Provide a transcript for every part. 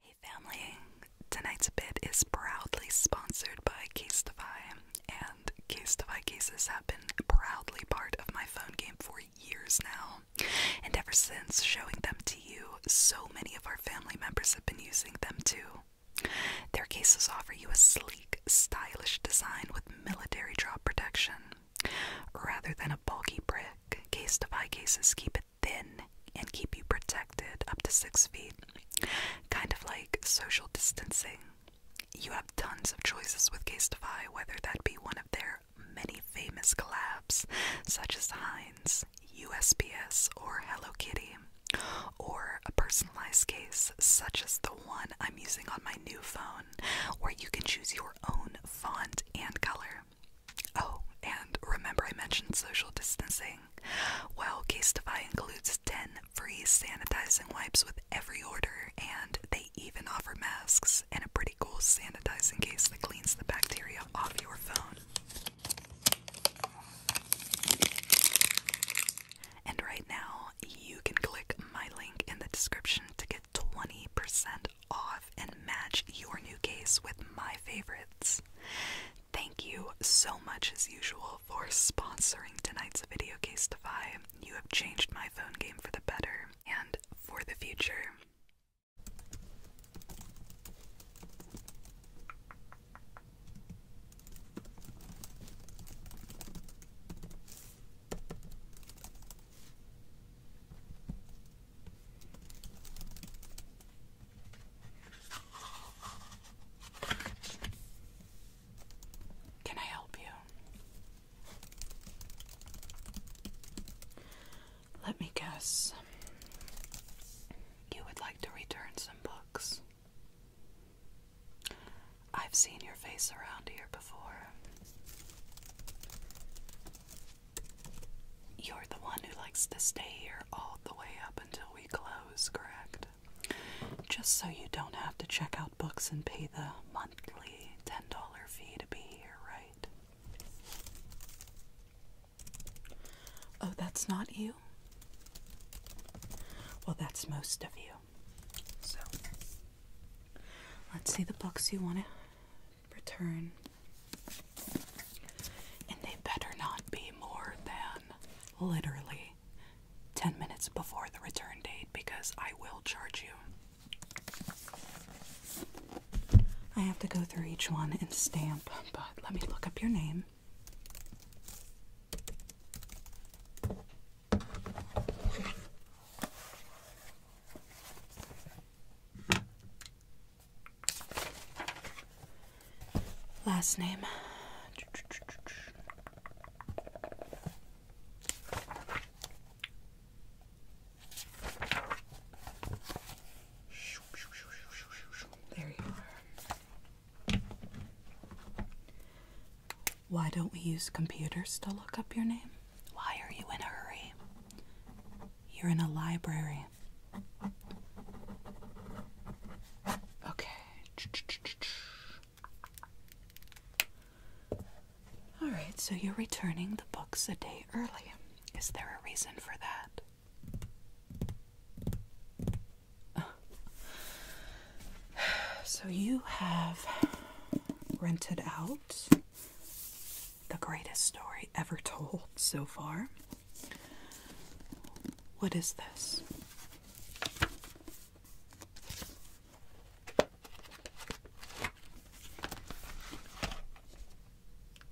Hey family, tonight's bit is proudly sponsored by Casetify, and Casetify cases have been proudly part of my phone game for years now. And ever since showing them to you, so many of our family members have been using them too. Their cases offer you a sleek, stylish design with military drop protection. Rather than a bulky brick, Casetify cases keep it thin and keep you protected up to six feet. Kind of like social distancing. You have tons of choices with Casetify, whether that be one of their many famous collabs, such as Heinz, USPS, or Hello Kitty, or a personalized case, such as the one I'm using on my new phone, where you can choose your own font and color. Oh, and remember I mentioned social distancing? Well, Casetify includes 10 free sanitizing wipes with every order, and they even offer masks and a pretty cool sanitizing case that cleans the bacteria off your phone. And right now, you can click my link in the description to get 20% off and match your new case with my favorites. Thank you so much, as usual, for sponsoring tonight's video, Casetify. You have changed my phone game for the better and for the future. Can I help you? Let me guess. You would like to return some books. I've seen your face around here before. You're the one who likes to stay here all the way up until we close, correct? Just so you don't have to check out books and pay the monthly $10 fee to be here, right? Oh, that's not you? Well, that's most of you. So, let's see the books you want to return. And they better not be more than literally 10 minutes before the return date because I will charge you. I have to go through each one and stamp, but let me look up your name. Last name. There you are. Why don't we use computers to look up your name? Why are you in a hurry? You're in a library. Okay. All right, so you're returning the books a day early. Is there a reason for that? So you have rented out the greatest story ever told so far. What is this?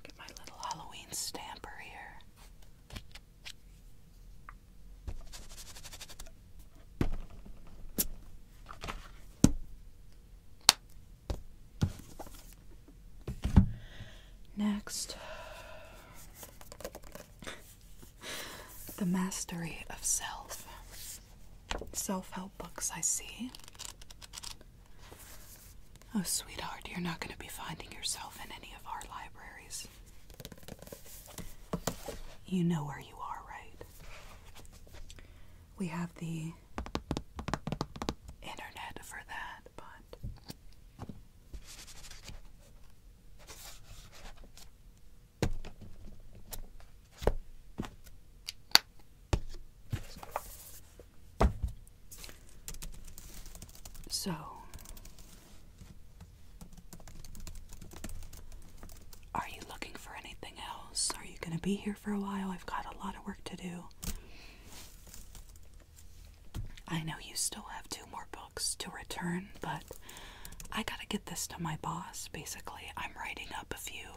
Get my little Halloween stamper here. Next, the mastery of self. Self help books, I see. Oh, sweetheart, you're not going to be finding yourself in any of our libraries. You know where you are, right? we have the internet for that, but so are you looking for anything else? Are you going to be here for a while? I've got a lot of work to do. I know you still have two more books to return, but I gotta get this to my boss. Basically, I'm writing up a few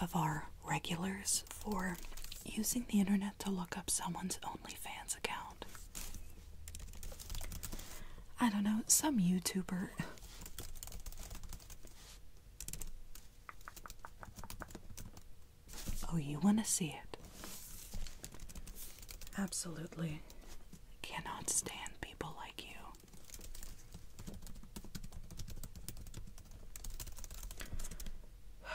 of our regulars for using the internet to look up someone's OnlyFans account. I don't know, some YouTuber. Oh, you want to see it? Absolutely. I Cannot stand people like you.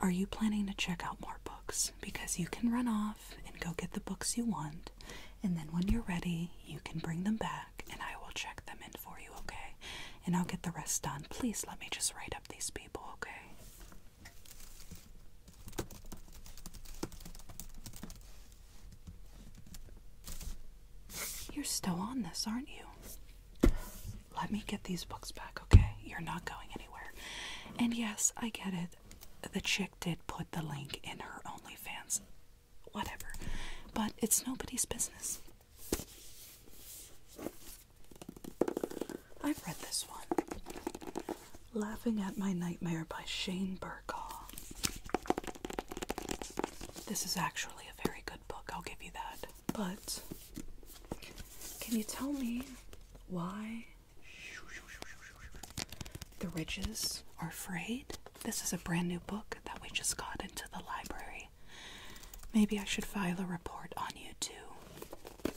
Are you planning to check out more books? Because you can run off and go get the books you want, and then when you're ready, you can bring them back and I will check them in for you, okay? And I'll get the rest done. Please let me just write up these people, okay? You're still on this, aren't you? Let me get these books back, okay? You're not going anywhere. And yes, I get it. The chick did put the link in her OnlyFans whatever. But it's nobody's business. I've read this one Laughing at My Nightmare by Shane Burkaw. This is actually a very good book, I'll give you that. But can you tell me why the ridges are frayed? This is a brand new book that we just got into the library. Maybe I should file a report on you too.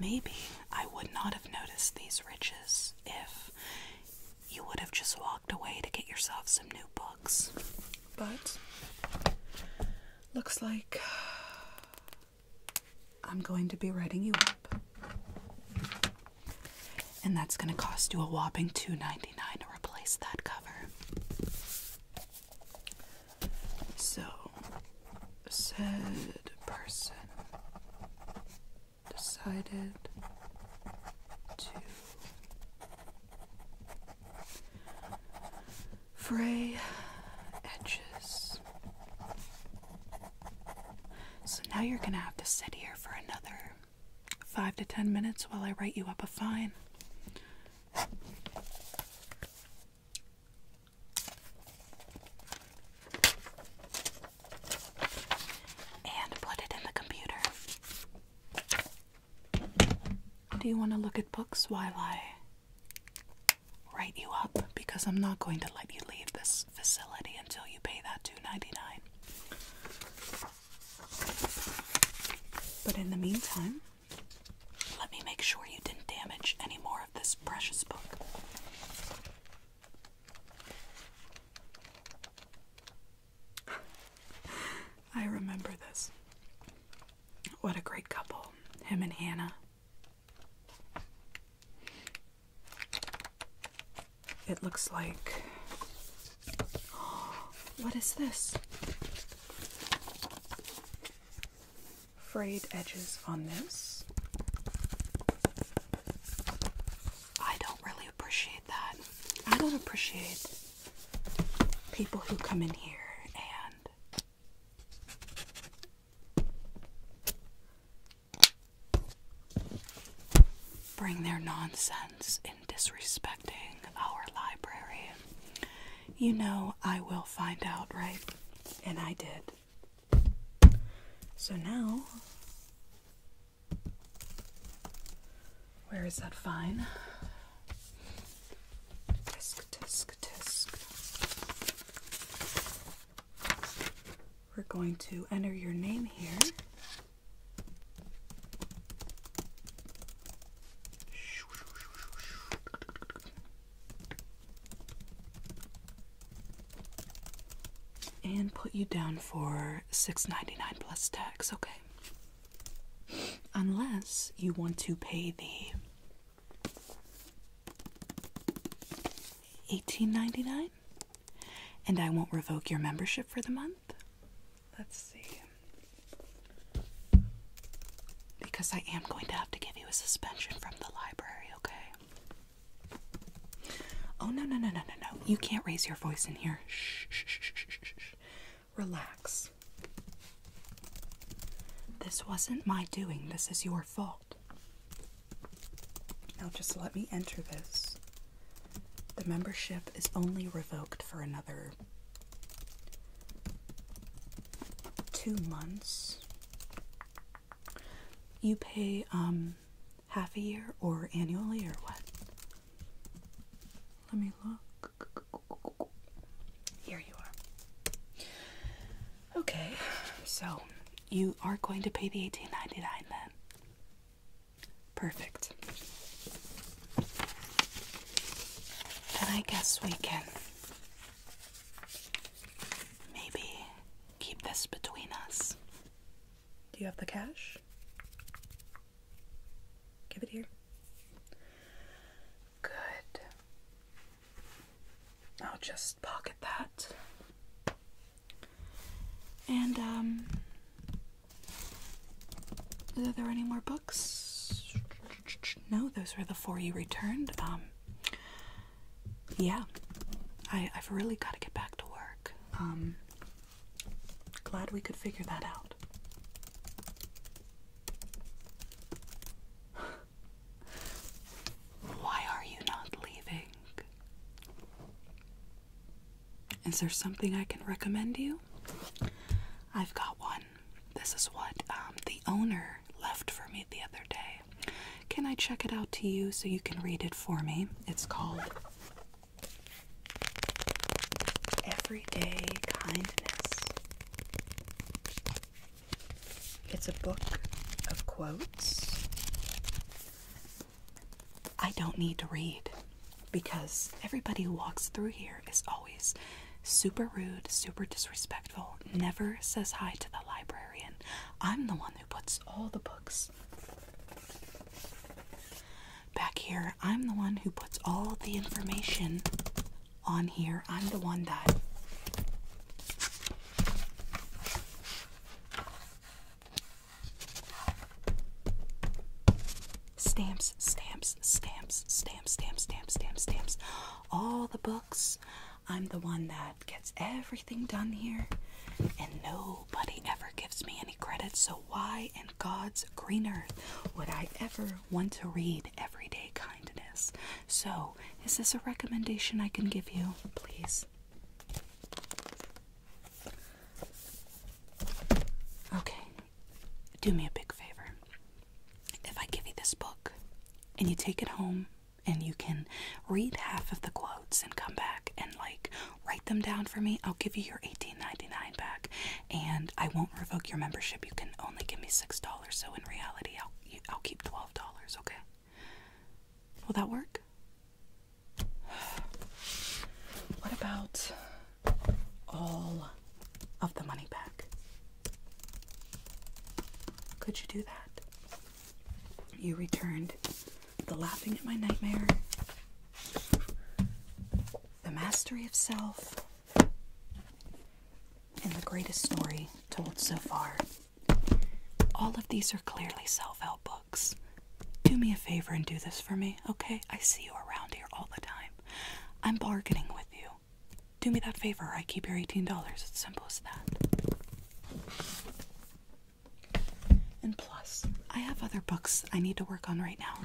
Maybe I would not have noticed these riches if you would have just walked away to get yourself some new books. But looks like I'm going to be writing you up. And that's going to cost you a whopping $2.99 to replace that cover. So, said person decided to fray edges. So now you're going to have to sit here for another five to ten minutes while I write you up a fine. And put it in the computer. Do you want to look at books while I write you up? Because I'm not going to let you leave this facility until you pay that $2.99. But in the meantime, let me make sure you didn't damage any more of this precious book. I remember this. What a great couple, him and Hannah it looks like. what is this? Frayed edges on this. I don't really appreciate that. I don't appreciate people who come in here and. Bring their nonsense in disrespecting our library. You know, I will find out, right? And I did. So now, where is that fine? Tisk, tisk, tisk. We're going to enter your name here. And put you down for $6.99 plus tax, okay? Unless you want to pay the $18.99 and I won't revoke your membership for the month. Let's see. Because I am going to have to give you a suspension from the library, okay? Oh, no, no, no, no, no, no. You can't raise your voice in here. Shh, shh, shh, shh, shh, Relax. This wasn't my doing, this is your fault. Now just let me enter this the membership is only revoked for another two months. You pay um half a year or annually or what? Let me look. Here you are. Okay, so you are going to pay the eighteen ninety nine then. Perfect. Then I guess we can maybe keep this between us. Do you have the cash? Give it here. Good. I'll just pocket that. And um, are there any more books? No, those were the four you returned. Um, yeah. I have really got to get back to work. Um, glad we could figure that out. Why are you not leaving? Is there something I can recommend you? I've got one. This is what um, the owner left for me the other day. Can I check it out to you so you can read it for me? It's called Everyday Kindness. It's a book of quotes I don't need to read because everybody who walks through here is always super rude, super disrespectful, never says hi to the librarian. I'm the one who puts all the books back here. I'm the one who puts all the information on here. I'm the one that Stamps, stamps, stamps, stamps, stamps, stamps, stamps, All the books. I'm the one that gets everything done here, and nobody ever gives me any credit. So, why in God's green earth would I ever want to read Everyday Kindness? So, is this a recommendation I can give you? Please. Okay, do me a big favor. If I give you this book and you take it home and you can read half of the quotes and come back and like write them down for me, I'll give you your $18.99 back and I won't revoke your membership. You can only give me $6, so in reality, I'll, I'll keep $12, okay? Will that work? What about all of the money back? Could you do that? You returned the laughing at my nightmare, the mastery of self, and the greatest story told so far. All of these are clearly self help books. Do me a favor and do this for me, okay? I see you around here all the time. I'm bargaining with you. Do me that favor, I keep your $18. It's simple as that. And plus, I have other books I need to work on right now.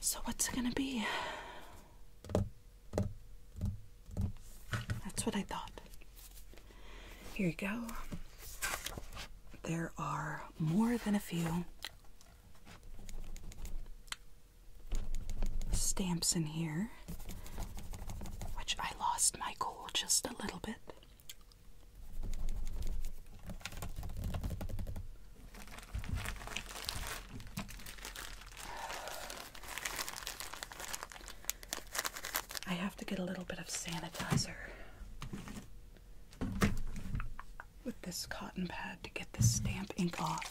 So what's it gonna be? That's what I thought. Here you go. There are more than a few stamps in here which I lost my cool just a little bit. I have to get a little bit of sanitizer with this cotton pad to get this stamp ink off.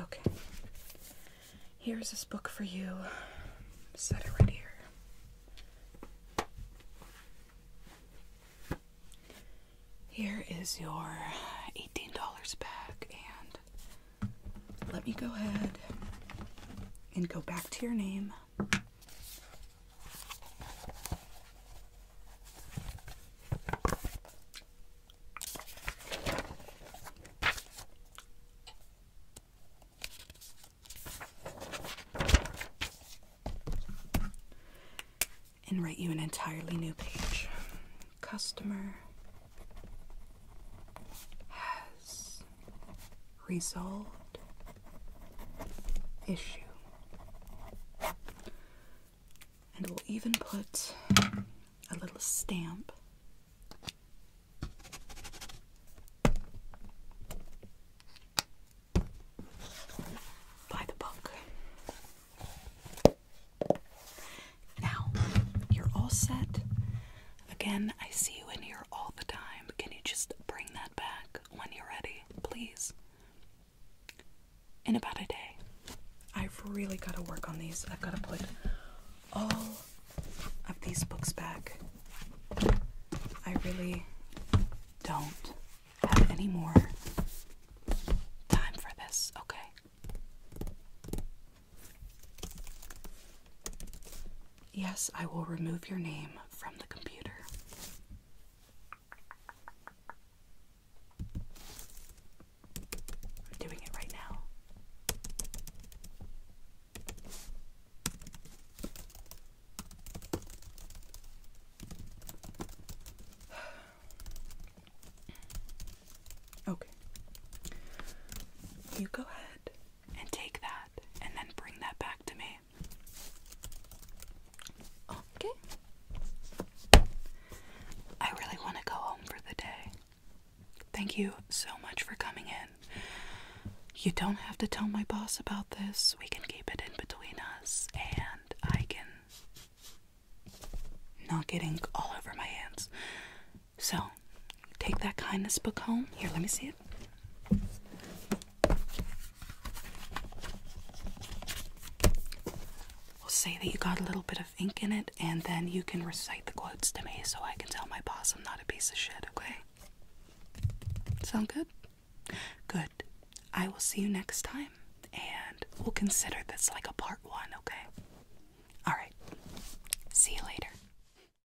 Okay. Here's this book for you. Set it right here. Here is your $18 back, and let me go ahead and go back to your name and write you an entirely new page. Customer has resolved issue. And we'll even put a little stamp by the book. Now, you're all set. Again, I see you in here all the time. Can you just bring that back when you're ready, please? In about a day. I've really got to work on these. I've got to put all of these books back. I really don't have any more time for this, okay? Yes, I will remove your name from the computer. I'm doing it right now. Okay. You go ahead and take that and then bring that back to me. Okay. I really want to go home for the day. Thank you so much for coming in. You don't have to tell my boss about this. We can keep it in between us, and I can. Not getting all over my hands. So, Take that kindness book home. Here, let me see it. We'll say that you got a little bit of ink in it, and then you can recite the quotes to me so I can tell my boss I'm not a piece of shit, okay? Sound good? Good. I will see you next time, and we'll consider this like a part one, okay? Alright. See you later.